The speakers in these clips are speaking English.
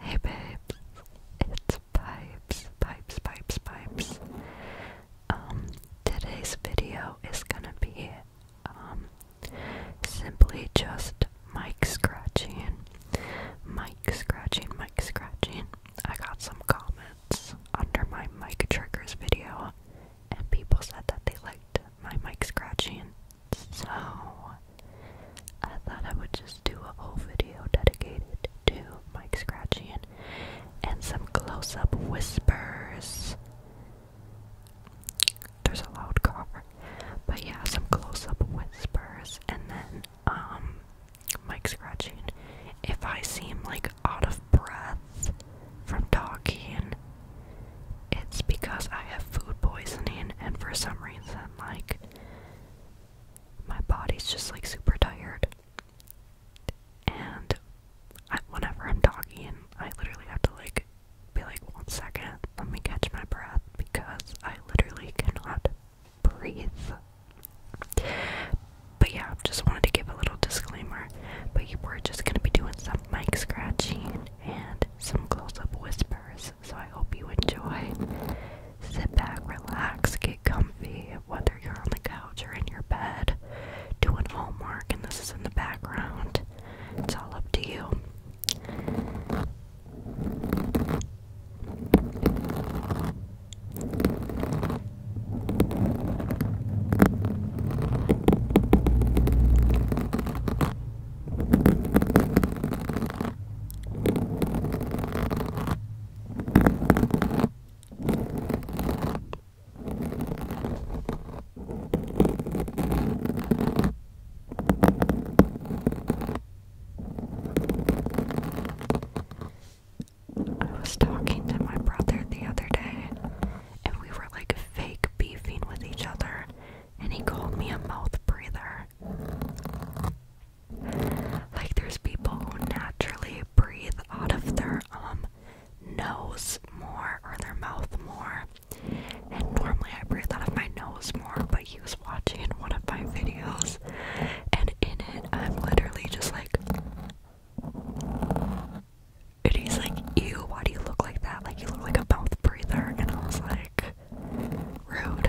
Hey babes, it's Pipes, Pipes, Pipes, Pipes. Um, today's video is gonna be, um, simply just mic scratching, mic scratching, mic scratching. I got some comments under my mic triggers video, and people said that they liked my mic scratching. So, I thought I would just do a whole video dedicated to Mike scratching and some close up whispers. There's a loud car, but yeah, some close up whispers, and then, um, Mike scratching. If I seem like out of breath from talking, it's because I have food poisoning, and for some reason, like, my body's just like super tired. And whenever I'm talking, I literally have to like be like, one second, let me catch my breath because I literally cannot breathe. But yeah, just wanted to give a little disclaimer. But we're just gonna be doing some mic scratching and some close up whispers so I hope you enjoy. Sit back, relax, get comfy, whether you're on the couch or in your bed, doing homework, and this is in the background. It's all up to you. I was talking to my brother the other day, and we were like fake beefing with each other, and he called me a mouth breather. Like there's people who naturally breathe out of their um nose more or their mouth more. And normally I breathe out of my nose more, but he was watching one of my videos and in it I'm literally just like and he's like, ew, why do you look like that? Like you look like a mouth breather and I was like public road.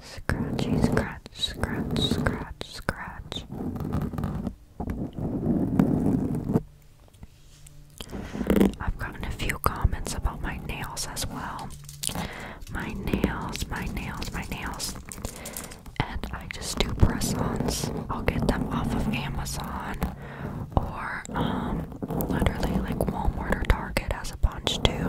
Scratchy, scratch, scratch, scratch, scratch. I've gotten a few comments about my nails as well. My nails, my nails, my nails and I just do press ons. I'll get them off of Amazon or um literally like Walmart or Target has a bunch too.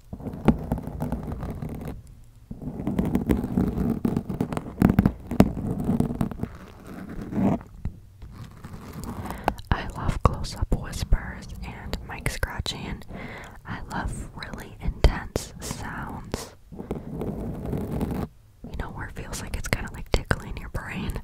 I love close up whispers and mic scratching. I love really intense sounds. You know, where it feels like it's kind of like tickling your brain.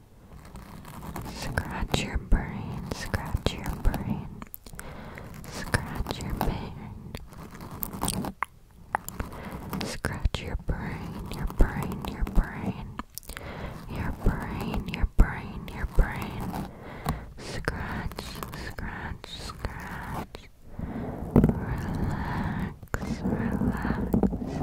Scratch your brain, scratch your brain, scratch your brain. Scratch your brain, your brain, your brain. Your brain, your brain, your brain. Scratch, scratch, scratch. Relax, relax, relax.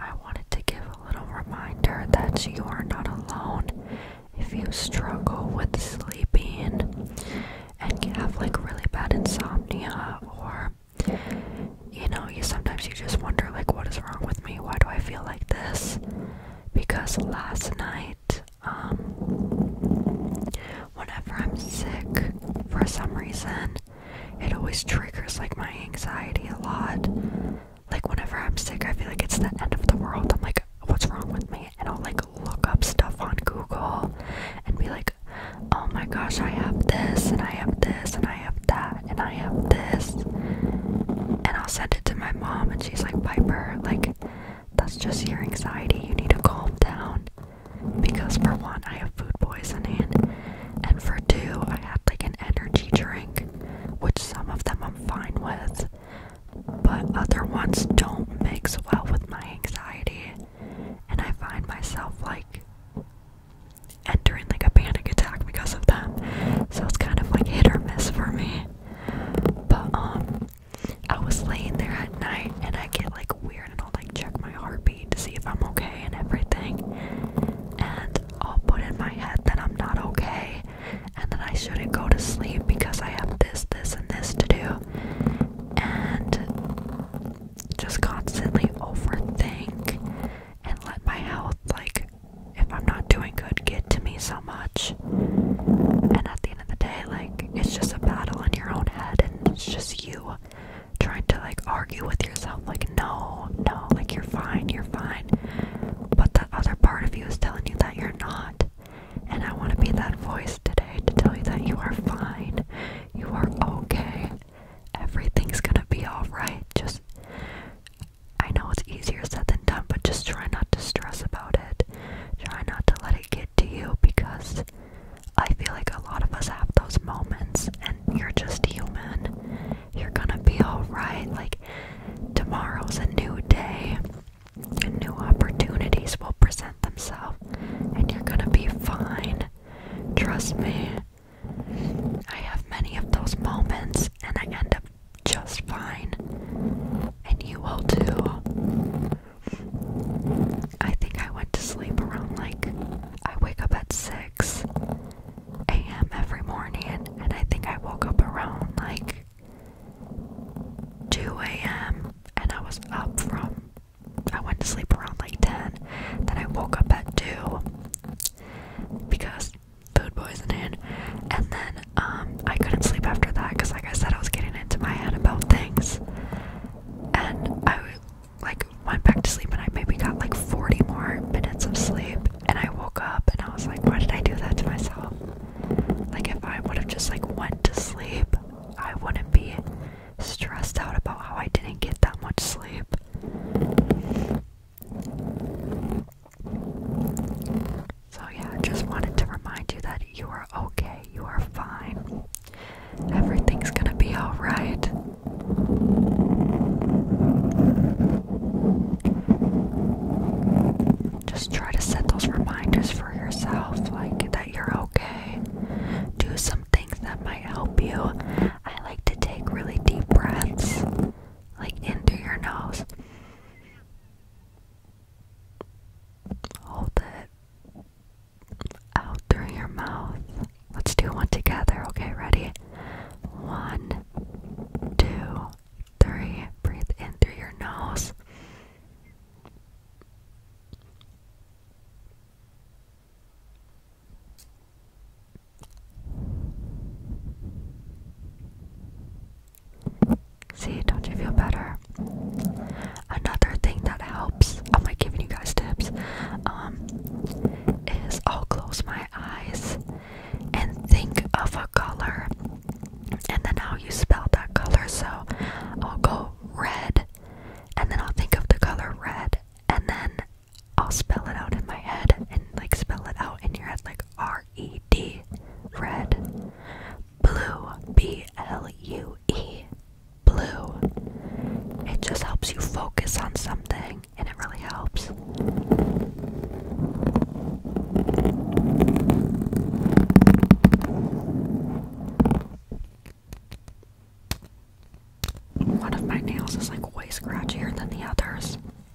I wanted to give a little reminder that you are not alone if you struggle with sleeping and you have like really bad insomnia or you know, you sometimes you just wonder like what is wrong with me? Why do I feel like this? Because last night, um whenever I'm sick for some reason, it always triggers like my anxiety a lot. Like whenever I'm sick, I feel like it's the end of the world. I'm like, what's wrong with me? And I'll like look up stuff on Google and be like, oh my gosh, I have this and I have this and I. I have that, and I have this. And I'll send it to my mom, and she's like, Piper, like, that's just your anxiety. You need to calm down. Because, for one, I have food poisoning, and for two, I had like an energy drink, which some of them I'm fine with, but other ones don't mix well with my anxiety. And I find myself like entering like a panic attack because of them. So it's kind of like hit or miss for me. But um I was laying there at night and I get like weird and I'll like check my heartbeat to see if I'm okay and everything. And I'll put in my head that I'm not okay and that I shouldn't go to sleep because I have this, this, and this to do. And just constantly overthink and let my health like if I'm not doing good get to me so much. And at the end of the day, like, it's just a battle in your own head, and it's just you trying to, like, argue with yourself, like, no, no, like, you're fine, you're fine. But that other part of you is telling you that you're not. And I want to be that voice today to tell you that you are fine, you are okay, everything's gonna be alright. Just I know it's easier said than done, but just try not to stress about it. Try not to let it get to you because I feel like a lot of us have those moments and you're just human. You're gonna be alright. Like, tomorrow's a new day, and new opportunities will present themselves, and you're gonna be fine. Trust me. I have many of those moments and I end up just fine. And you will too. I think I went to sleep around like I wake up at 6 a.m. every morning and I think I woke up around like 2 a.m. and I was up from I went to sleep around like 10. Then I woke up at 2 because food poisoning, and then um, I couldn't sleep after that because, like I said, I was getting into my head about things, and I like went back to sleep, and I maybe got like 40 more minutes of sleep, and I woke up, and I was like, why did I do that to myself? Like if I would have just like went to sleep, I wouldn't be stressed out about how I didn't get that much sleep. So, yeah, just wanted to remind you that you are okay, you are fine, everything's gonna be alright. Just try to set those reminders for yourself, like that you're okay. Do some things that might help you. I like to take really deep breaths like into your nose. Hold it out through your mouth. Let's do one together. Okay, ready? One, two, three. Breathe in through your nose. See, don't you feel better? Another thing that helps, am like giving you guys tips, um, is I'll close my eyes and think of a color and then how you spell that color. So I'll go red and then I'll think of the color red and then I'll spell it out in my head and like spell it out in your head like R E D red blue B L U E blue. It just helps you focus on something and it really helps. One of my nails is like way scratchier than the others.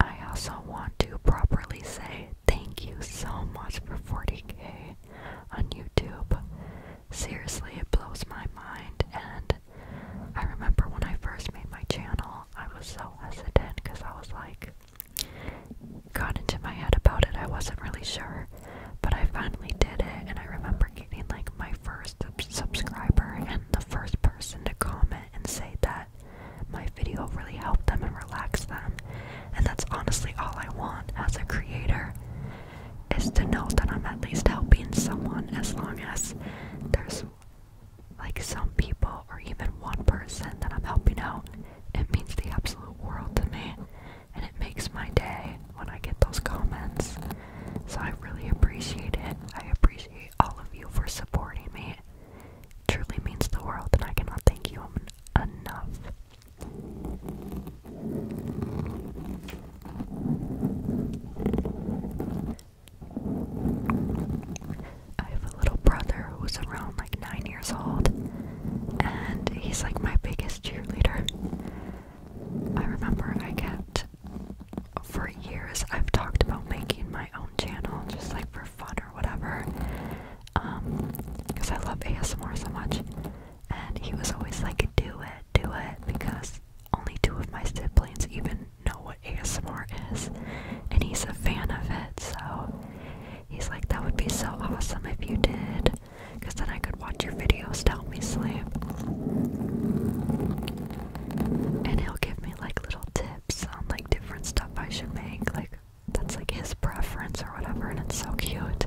I also want to properly say thank you so much for 40k on YouTube seriously, it blows my mind. And I remember when I first made my channel, I was so hesitant because I was like, got into my head about it. I wasn't really sure, but I finally did it. And I remember getting like my first subscriber and the first person to comment and say that my video really helped them and relaxed them. And that's honestly all I want as a creator is to know that I'm at least helping someone as long as there's like some people or even one person that I'm helping out. It means the absolute world to me and it makes my day when I get those comments. So I really appreciate it. I appreciate all of you for supporting me. It truly means the world and I cannot thank you enough. I have a little brother who's around like nine years old, and he's like my biggest cheerleader. I remember I kept, for years, I've talked about making my own channel just like for fun or whatever, because um, I love ASMR so much and he was always like, do it, do it, because only two of my siblings even know what ASMR is, and he's a fan of it, so he's like, that would be so awesome if you did, because then I could watch your videos to help me sleep. And he'll give me like little tips on like different stuff I should make, like that's like his preference or whatever, and it's so cute.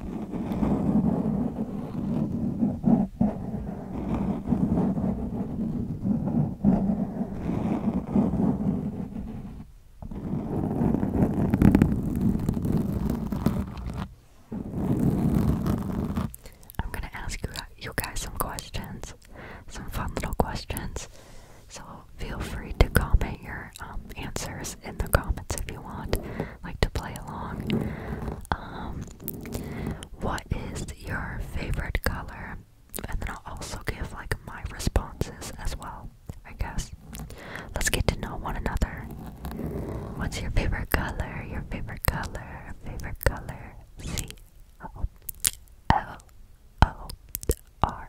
I'm going to ask you, you guys some questions, some fun little questions. So feel free to comment your um, answers in the comments if you want, like to play along. Um, what is your favorite color? And then I'll also give like my responses as well, I guess. Let's get to know one another. What's your favorite color? Your favorite color? Favorite color? C O L O R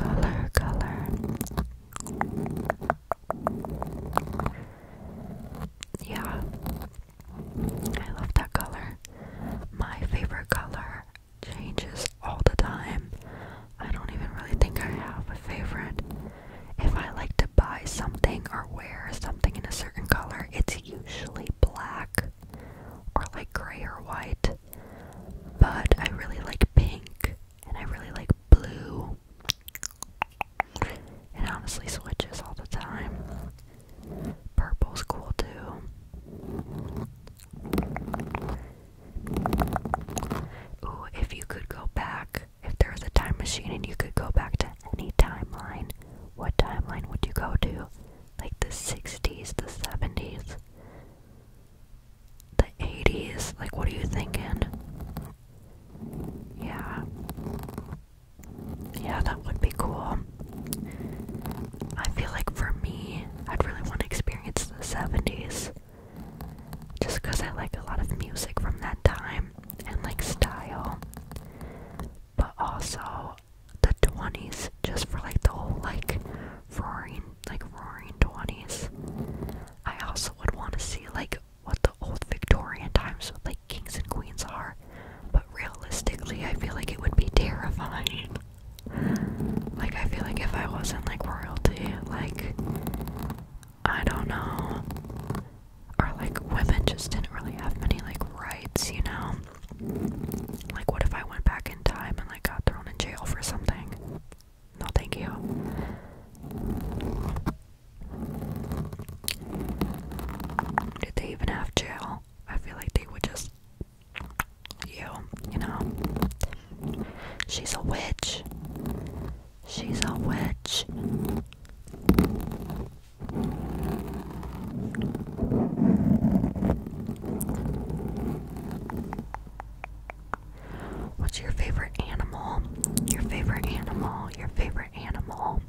color, color. Yeah, I love that color. My favorite color changes all the time. I don't even really think I have a favorite. If I like to buy something or wear something in a certain color, it's usually black or like gray or white. But I really like pink and I really like blue. It honestly switches all the time. Purple's cool too. Ooh, if you could go back, if there was a time machine and you could go back to any timeline, what timeline would you go to? Like the 60s, the 70s? the 80s? Like, what are you thinking? Yeah. Yeah, that would be cool. I feel like for me, I'd really want to experience the 70s. Just because I like a lot of music from that time and like style. But also the 20s, just for like the whole like roaring, like roaring 20s. I also would want to see like what the old Victorian times like kings and queens are, but realistically, I feel like it would be terrifying. Like I feel like if I wasn't like royalty, like I don't know, or like women just didn't really have many like rights, you know. Like, what if I went back in time and like got thrown in jail for something? No, thank you. Did they even have jail? I feel like they would just. You, you know. She's a witch. She's a witch. What's your favorite animal? Your favorite animal, your favorite animal.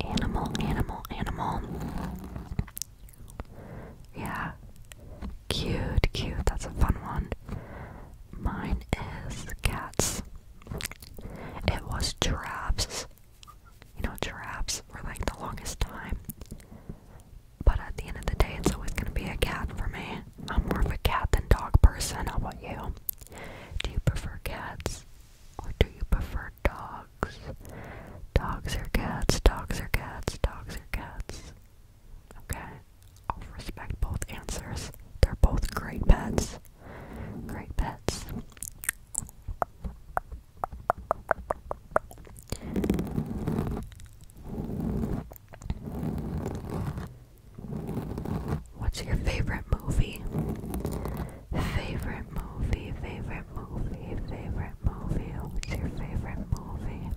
Animal, animal, animal. Yeah. Cute, cute. That's a fun one. Mine is cats. It was giraffes. You know, giraffes for like the longest time. But at the end of the day, it's always gonna be a cat for me. I'm more of a cat than dog person. How about you? Do you prefer cats or do you prefer dogs? Dogs or cats? Dogs or cats? Dogs or cats? Okay, I'll respect both answers. They're both great pets. Great pets. What's your favorite movie? Favorite movie, favorite movie, favorite movie. What's your favorite movie?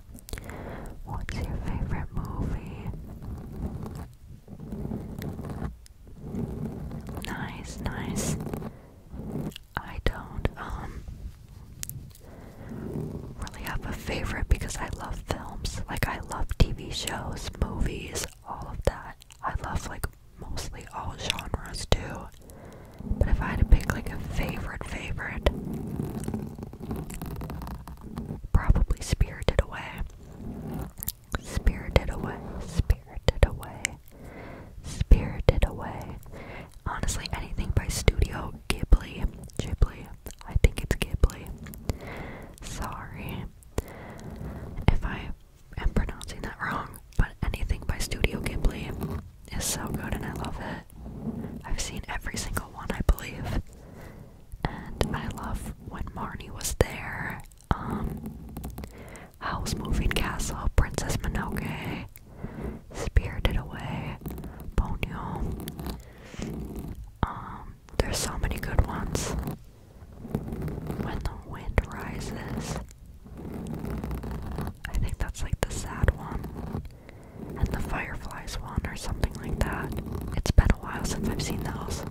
What's your favorite movie? Nice, nice. I don't, um, really have a favorite because I love films. Like, I love TV shows, movies, all of that. I love, like, mostly all genres too. But if I had to pick, like, a favorite, favorite, probably Spirited Away. Spirited Away. Spirited Away. Spirited Away. Honestly, anything by Studio Ghibli. Ghibli. I think it's Ghibli. Sorry if I am pronouncing that wrong, but anything by Studio Ghibli is so good and I love it. I've seen every single one, I believe. And I love when Marnie was there. Um, House Moving Castle, Princess Minogue, Spirited Away, Ponyo. Um, there's so many good ones. When the wind rises. I think that's like the sad one. And the fireflies one or something like that. It's been a while since I've seen those.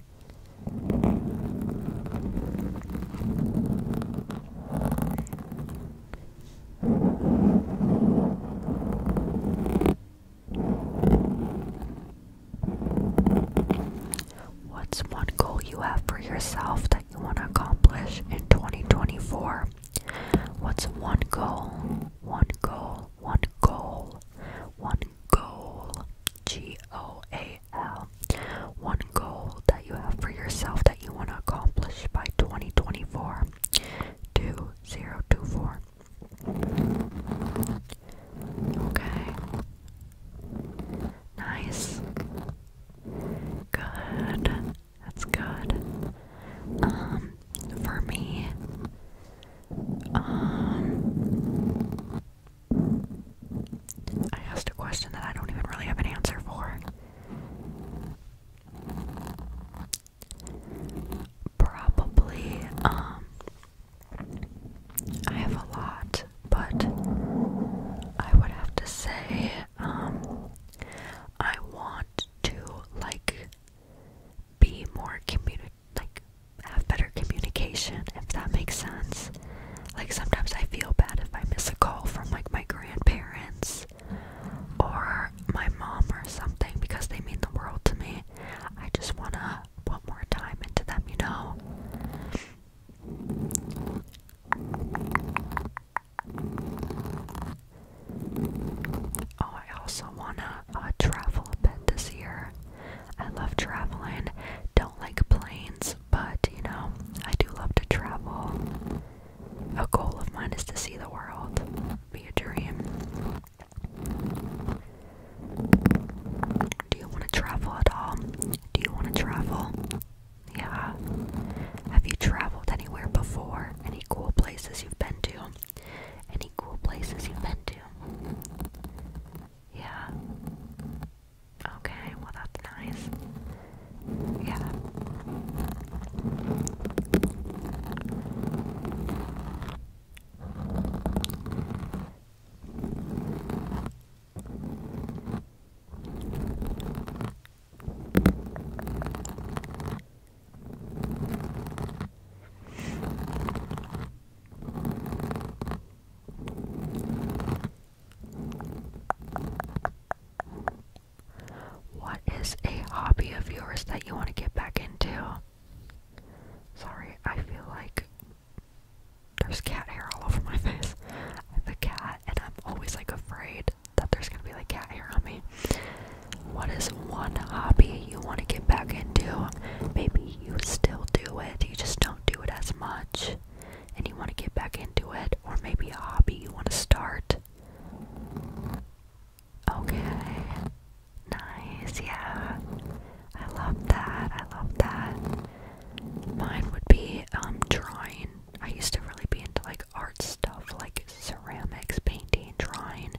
What's one goal you have for yourself that you want to accomplish in 2024? What's one goal? One goal, one goal, one goal, G O A L. One goal that you have for yourself that you want to accomplish by 2024. 2024. Okay. Nice. Good. That's good. Um, for me, um, I asked a question that I don't even really have an answer for. Probably, um, I have a lot, but I would have to say, um, I want to like be more communi like have better communication, if that makes sense. Like sometimes I feel bad if I miss a call from like my grandparents or my mom or something because they mean the world to me. I just wanna put more time into them, you know? Oh, I also wanna uh, travel a bit this year. I love traveling. Don't like planes, but you know, I do love to travel. A goal of mine is to see the world. Be a dream. Do you want to travel at all? Do you want to travel? Yeah. Have you traveled anywhere before? Any cool places you've been to? Any cool places you've been to? Yeah. Okay, well, that's nice. Yeah. What is a hobby of yours that you want to get back into? Sorry, I feel like there's cat hair all over my face. I'm cat, and I'm always like afraid that there's gonna be like cat hair on me. What is one hobby you want to get back into? Maybe you still do it, you just don't do it as much, and you want to get back into it, or maybe a hobby you want to start. Okay. Nice, yeah. I love that. I love that. Mine would be um drawing. I used to really be into like art stuff, like ceramics, painting, drawing,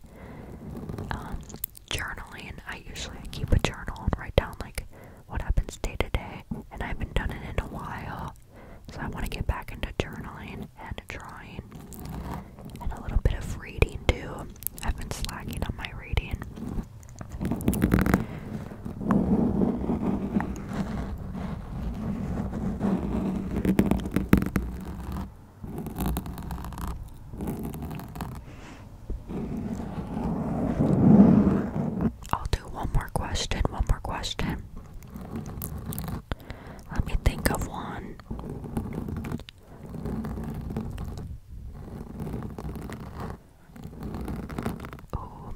um, journaling. I usually I keep a journal and write down like what happens day to day, and I haven't done it in a while, so I want to get back into journaling and drawing and a little bit of reading too. I've been slacking on my reading. I'll do one more question, one more question. Let me think of one. Oh,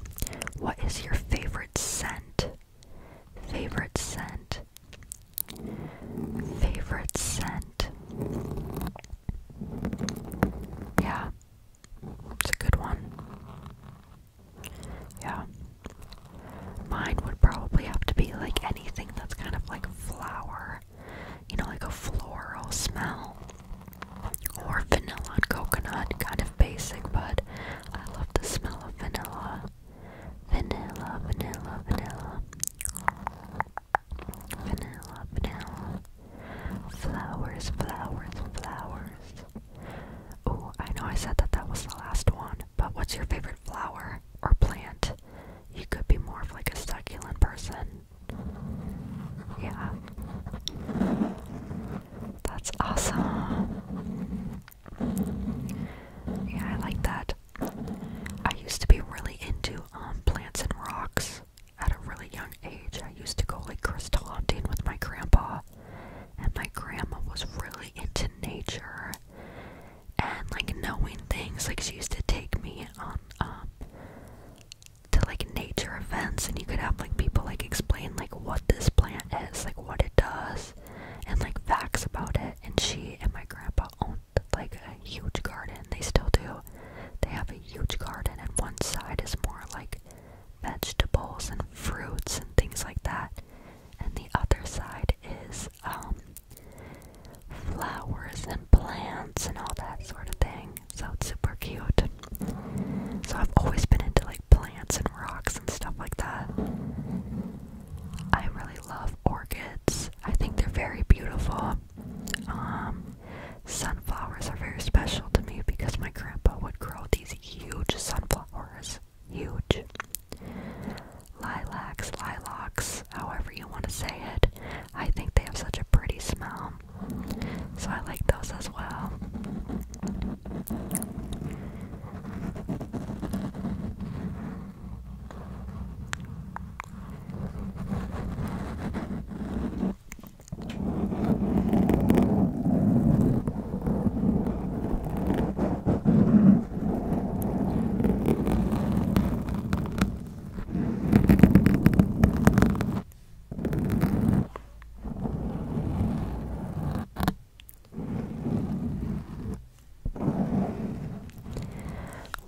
what is your favorite scent? Favorite scent. Favorite scent. Yeah. It's a good one. Yeah. Mine would probably have to be like anything that's kind of like flower or you know, like a floral smell or vanilla and coconut, kind of basic, but I love the smell of vanilla. Vanilla, vanilla, vanilla. Vanilla, vanilla. Flowers, flowers, flowers. Oh, I know I said that that was the last one, but what's your favorite flower or plant? You could be more of like a succulent person. Yeah. That's awesome. Yeah, I like that. I used to be really into um, plants and rocks at a really young age. I used to go like crystal hunting with my grandpa and my grandma was really into nature and like knowing things. Like she used to take me on um, to like nature events and you could have like people like explain like what this plant is, like what it does and like facts about it. And she and my grandpa owned like a huge garden. They still do. They have a huge garden and one side is more like vegetables and fruits and things like that. And the other side is um flowers and plants and all that sort of thing. So it's super cute. So I've always been into like plants and rocks and stuff like that. I really love orchids. I think they're very beautiful. Um, sunflowers are very special to me because my grandpa would grow these huge sunflowers. Huge. Lilacs, lilacs, however you want to say it. I think they have such a pretty smell. So I like those as well.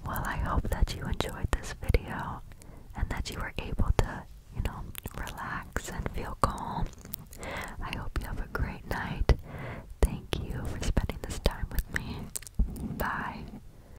Well, I hope that you enjoyed this video and that you were able to, you know, relax and feel calm. I hope you have a great night. Thank you for spending this time with me. Bye.